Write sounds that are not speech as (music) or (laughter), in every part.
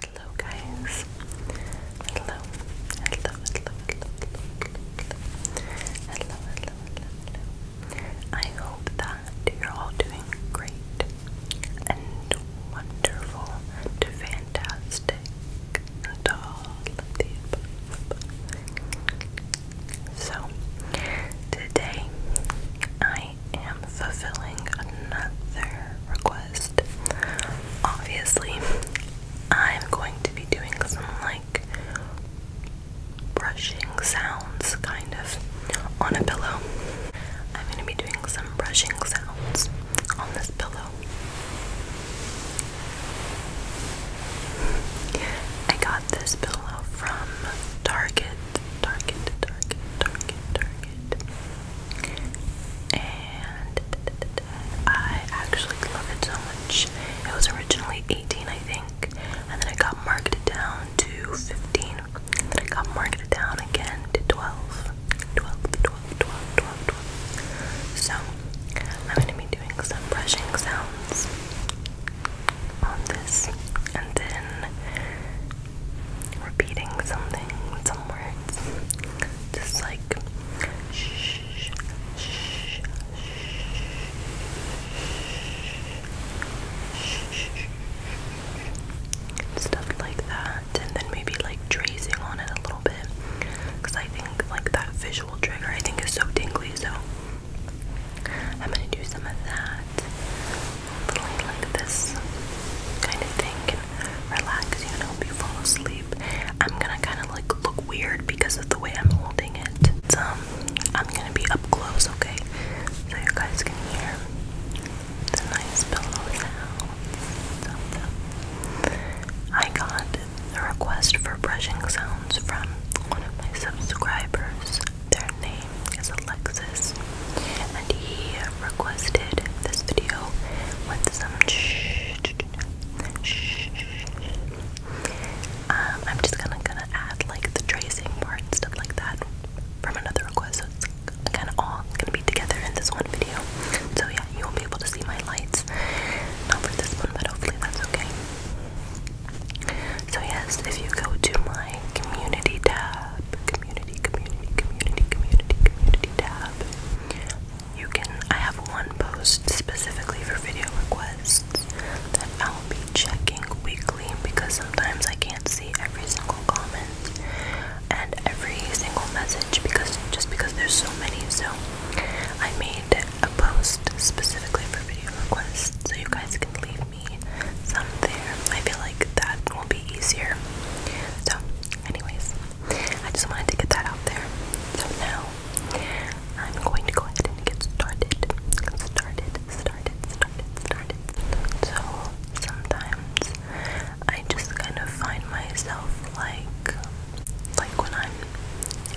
Hello guys. Hello. Hello, hello, hello, hello, hello, hello, hello. I hope that you're all doing great and wonderful fantastic So today I I am fulfilling another request. Obviously, I'm going to be doing some like brushing sounds kind of on a pillow. I'm going to be doing some brushing sounds on this pillow. I got this pillow from Target, Target, Target, Target, Target and I actually love it so much. It was originally 18, I think, and then it got marketed down to 15. then it got marketed down again to 12. So I'm going to be doing some brushing sounds on this, and then repeating something, some words, just like shh, shh, shh, shh, stuff like that, and then maybe like tracing on it a little bit, I think like that visual trigger I think is so tingly, so I'm gonna do some of that. Hopefully, like this kind of thing can relax you and help you fall asleep. I'm gonna kind of like look weird because of the way I'm holding it. um, I'm gonna be up close, okay? So you guys can hear the nice pillow sound. I got a request for brushing sounds from one of my subscribers. Their name it's Alexis, and he requested this video with some shh. shh, um, I'm just gonna gonna add like the tracing part and stuff like that from another request, so it's kind of all gonna be together in this one video. So yeah, you won't be able to see my lights, not for this one, but hopefully that's okay. So yes, if you go to my community tab, community, community, community, community, community tab. You can, I have one post specifically for video requests that I'll be checking weekly because sometimes I can't see every single comment and every single message because just because there's so many. So I made a post specifically for video requests so you guys can leave me some there. I feel like that will be easier. So, anyways, I just wanted to get that out there. So now I'm going to go ahead and get started. Started, started, started, started. So sometimes I just kind of find myself like like when I'm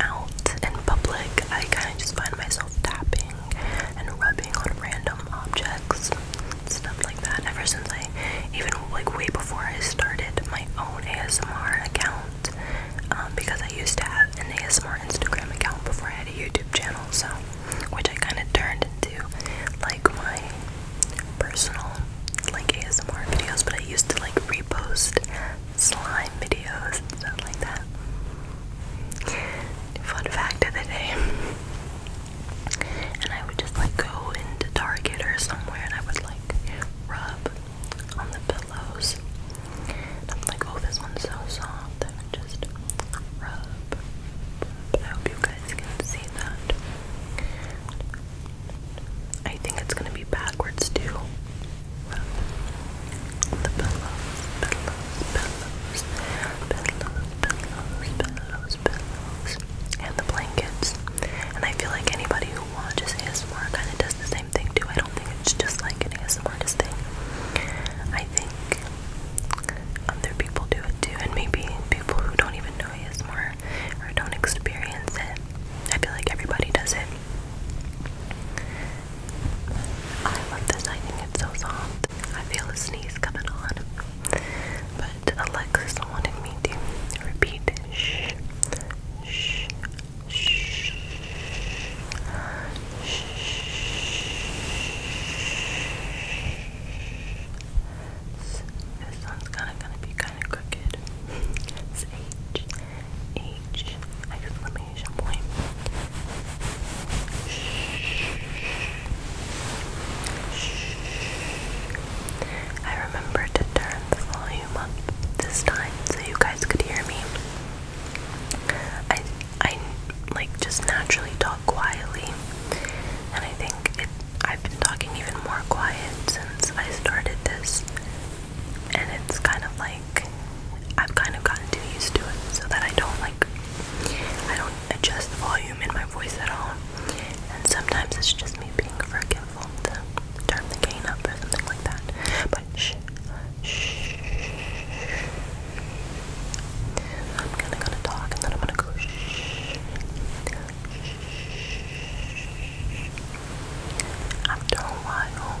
out in public, I kind of just find myself tapping and rubbing on random objects stuff like that ever since I even like way before I started my own ASMR account um, because I used to have an ASMR Instagram account before I had a YouTube channel so which I kind of turned into like my personal like ASMR videos but I used to like repost slime videos and stuff like that. Fun fact of the day and I would just like go into Target or somewhere and I would like rub on the pillows. I'm like, oh, this one's so soft. I would just rub. I hope you guys can see that. I think it's gonna be backwards too. the pillows, pillows, pillows, pillows, pillows, pillows, pillows, and the blankets. And I feel like anybody who watches ASMR kind of does the same thing too. I don't think it's just like an ASMRist thing. I think other people do it too, and maybe people who don't even know ASMR or don't experience it. I feel like everybody does it. I love this. I think it's so soft. I feel a sneeze coming on. But Alexis wanted me to repeat shh, shh, shh, shh, shh. This one's kind of gonna be kind of crooked. It's H, H, exclamation point. I remember to turn the volume up this time so you guys could hear me. I I like just naturally talk quietly, and I think it. I've been talking even more quiet since I started this, and it's kind of like I've kind of gotten too used to it, so that I don't like I don't adjust the volume in my voice at all. And sometimes it's just me being forgetful to turn the gain up or something like that. But shh, shh. I'm gonna gonna talk and then I'm gonna go shh. After a while,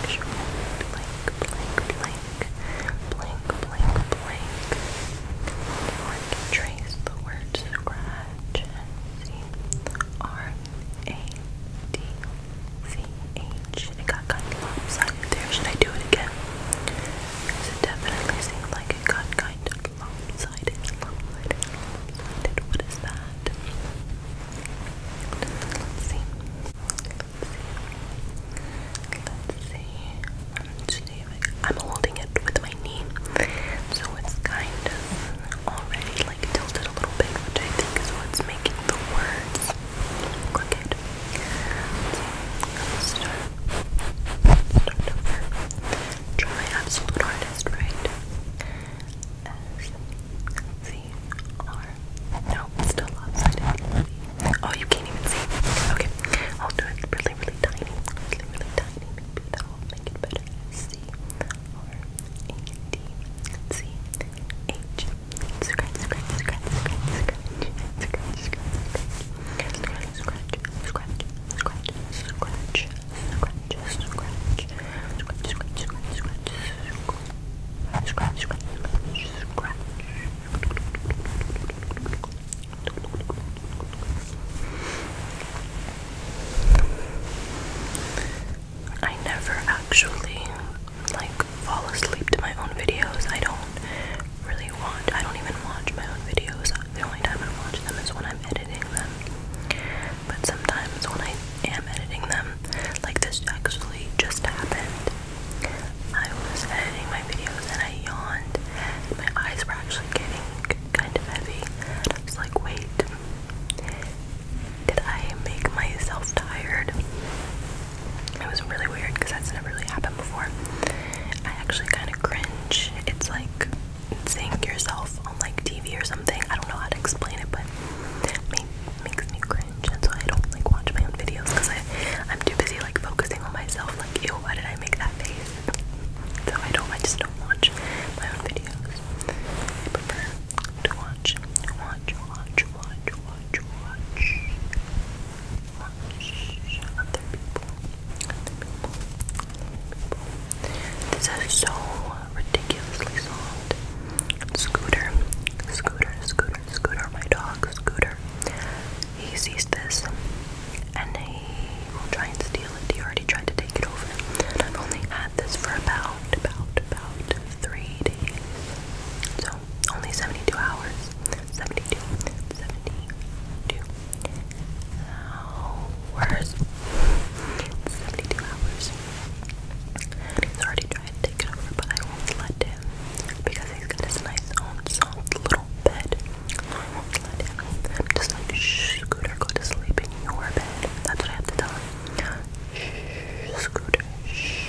Sexual. Blank, blank, blank. Blank, blank, blank. One can trace the word scratch It got kind of lopsided there. Should I do it again? Because it definitely seemed like it got kind of lopsided. Lopsided, What is that? Let's see. Let's see. Let's um, see. I'm holding it with my knee, so it's kind of already like tilted a little bit, which I think is what's making the words crooked. Let's start. start over. Try absolute hardest, right? S Z R. No, it's still lopsided. Oh, you can't even see. Okay, I'll do it really, really tiny. Really, really tiny. Maybe that will make it better. C R A D C H. scratch, scratch, scratch, scratch, scratch, scratch, scratch, scratch, scratch, scratch, scratch, scratch, scratch, scratch, scratch, scratch, scratch, scratch, I never actually like fall asleep to my own videos. I don't really watch. I don't even watch my own videos. The only time I watch them is when I'm editing. But sometimes when I am editing them, like this actually just happened. I was editing my videos and I yawned. my eyes were actually getting kind of heavy. I was like, wait, did I make myself tired? It was really weird because that's never really happened before. I actually kind of cringe. It's like seeing yourself on like TV or something. I don't know how to explain it, but it makes me cringe, That's why I don't like watch my own videos because I am too busy like focusing on myself. Like, ew, why did I make that face? So I don't. I just don't watch my own videos. I prefer to watch, watch, watch, watch, watch, watch, watch other other people, this is so ridiculously soft. Scooter, Scooter, Scooter, Scooter, my dog, Scooter. He sees this and he will try and steal it. He already tried to take it over. I've only had this for about, about, about three days. So, only 72 hours. 72, 72 hours. It's 72 hours. He's already trying to take it over, but I won't let him because he's got his nice own soft little bed. I won't let him just like shh, Scooter, go to sleep in your bed. That's what I have to tell him. Shh, Scooter, shh. Shh.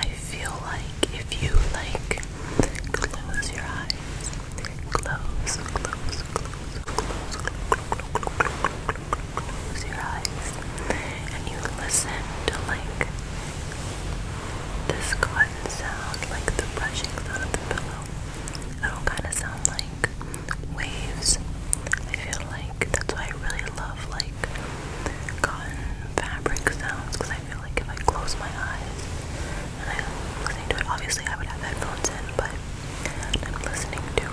I feel like if you like close your eyes, close, close, close, close, close, close your eyes and you listen to like this cotton sound, like the brushing sound of the pillow. It'll kind of sound like waves. I feel like that's why I really love like cotton fabric sounds because I feel like if I close my eyes and i listen to it, obviously I would have headphones in, but I'm listening to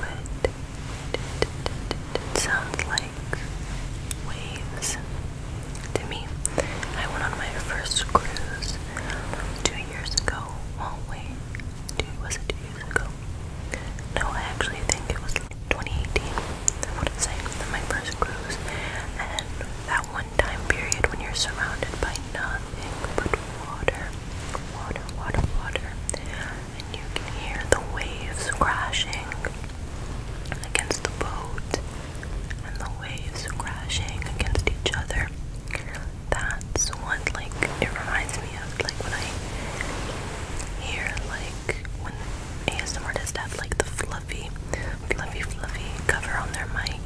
it. It sounds like waves to me. I went on my first cruise two years ago. wait, was it two years ago? No, I actually think it was 2018. I wouldn't say my first cruise. And that one time period when you're surrounded by nothing but water, water, water, water, and you can hear the waves crashing against the boat and the waves crashing against each other. That's what like it reminds me of like when I hear like when ASM artists have like the fluffy, fluffy, fluffy cover on their mic.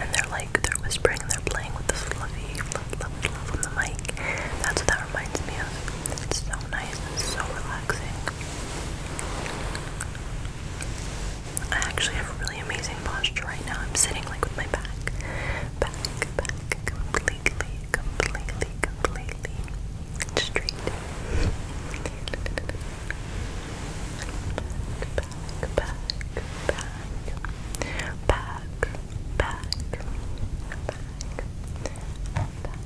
And they're like, they're whispering and they're playing with the fluffy love, love, love on the mic. That's what that reminds me of. It's so nice so relaxing. I actually have really amazing posture right now. I'm sitting like with my back, back, back, completely, completely, completely straight. Back, back, back, back, back, back, back, back,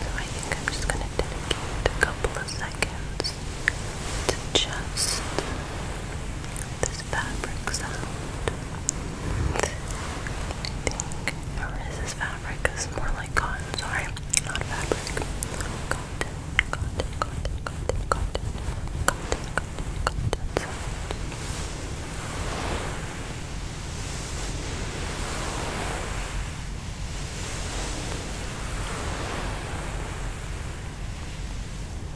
So I think I'm just going to dedicate a couple of seconds to just nice fabric I think, or is this fabric? It's more like cotton, sorry, not fabric. Cotton, cotton, cotton, cotton, cotton, cotton, cotton, cotton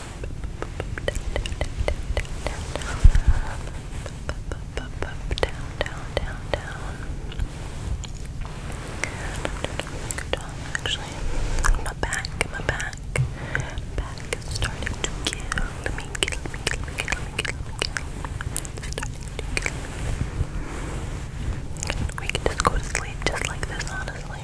down, down, down. Down, actually. My back, my back. Back is starting to kill me, kill me, kill me, kill me, kill me, kill me. Starting to kill me. We can just go to sleep just like this, honestly.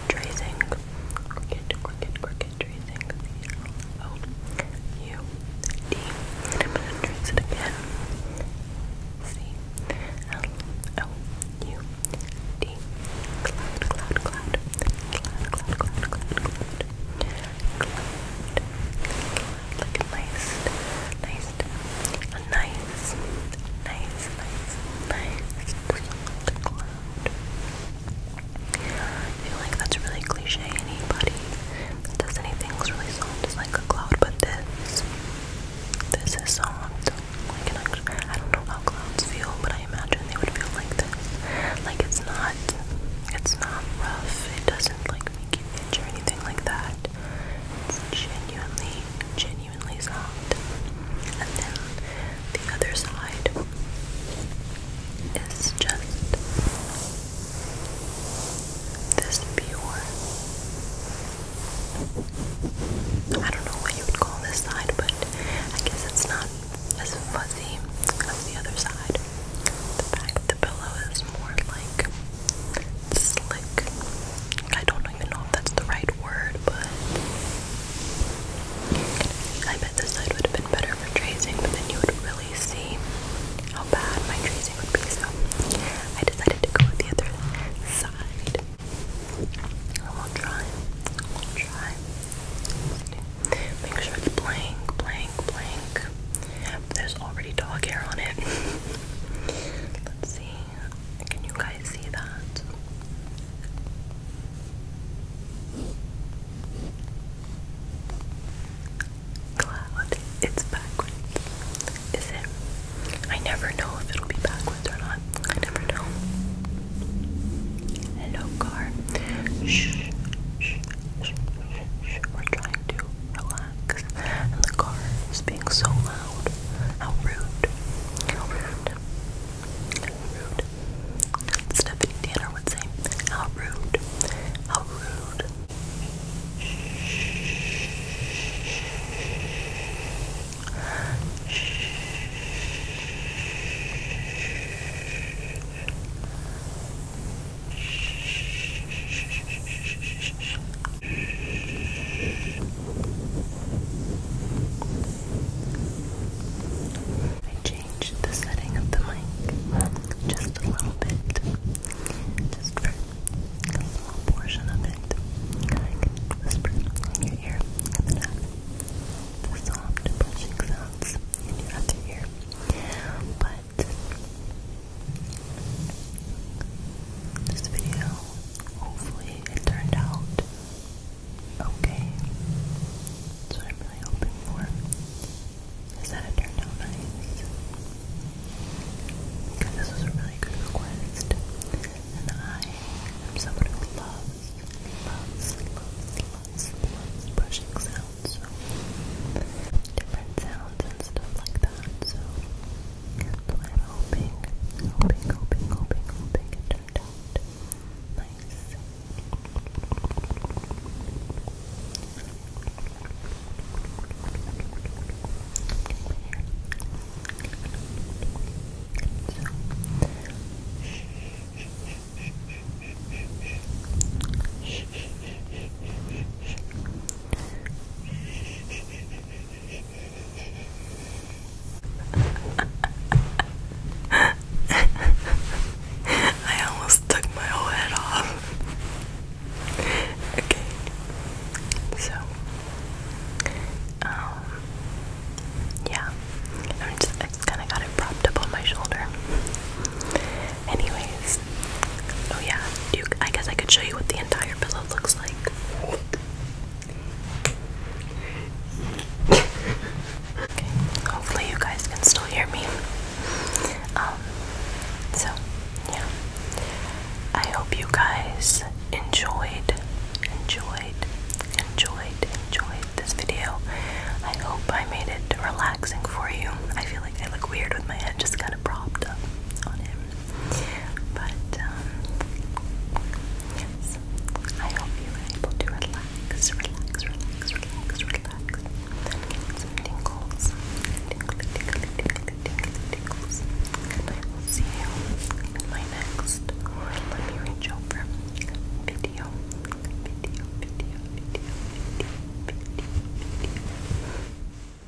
tracing. Cricket, cricket, cricket, tracing. C L O U D. am gonna trace it again. C L O U D. Cloud, cloud, cloud. Cloud, cloud, cloud, cloud, cloud. Cloud. Cloud. nice, nice nice, nice, nice, nice feel like that's really cliche. Anybody that does anything that's really soft is like a cloud, but this, this is soft. I don't know how clouds feel, but I imagine they would feel like this. Like it's not, it's not rough. It doesn't like make you itch or anything like that. It's genuinely, genuinely genuinely soft. And then the other side is just this pure. I don't know what you would call this side, but I guess it's not as fuzzy as the other side. The back of the pillow is more like slick. I don't don't even know if that's the right word, but I bet this side would have been better for tracing, but then you would really see how bad my tracing would be, so I decided to go with the other side. I will try. I will try. Make sure it's blank, blank, blank. There's already dog hair on it. (laughs) Let's see. Can you guys see that? Cloud, it's backwards. Is it? I never know if it'll be backwards or not. I never know. Hello, car. Shh, shh, shh, shh, We're trying to relax, and the car is being so loud. How rude. How rude. How rude. Stephanie Tanner would say, how rude. How rude. I changed the setting of the mic just a little bit, just for a small portion of it. I can whisper in your ear and then have the soft brushing sounds in your other ear. But this video hopefully it turned out okay. That's what I'm really hoping for. Is that it turned out nice? Because this was a really good request. And I am someone who loves, loves, loves, loves, loves brushing sounds. So different sounds and stuff like that. So so I'm hoping, hoping, hoping, hoping, hoping it turned out nice. (laughs) I almost took my whole head off. okay. So um yeah. I'm just kinda got it propped up on my shoulder. Anyways. Oh yeah, I guess I could show you what the entire pillow looks hopefully you guys can still hear me. Um, so yeah, I hope you guys enjoyed, enjoyed, enjoyed, enjoyed this video. I hope I made it relaxing for you. I feel like I look weird with my head just kind of propped up on him. But um, yes, I hope you were able to relax, relax, relax, relax, relax, and get some tingles, tingly, tingly, tingles. see you in my next, let me reach over video, video, video, video, video, video, video.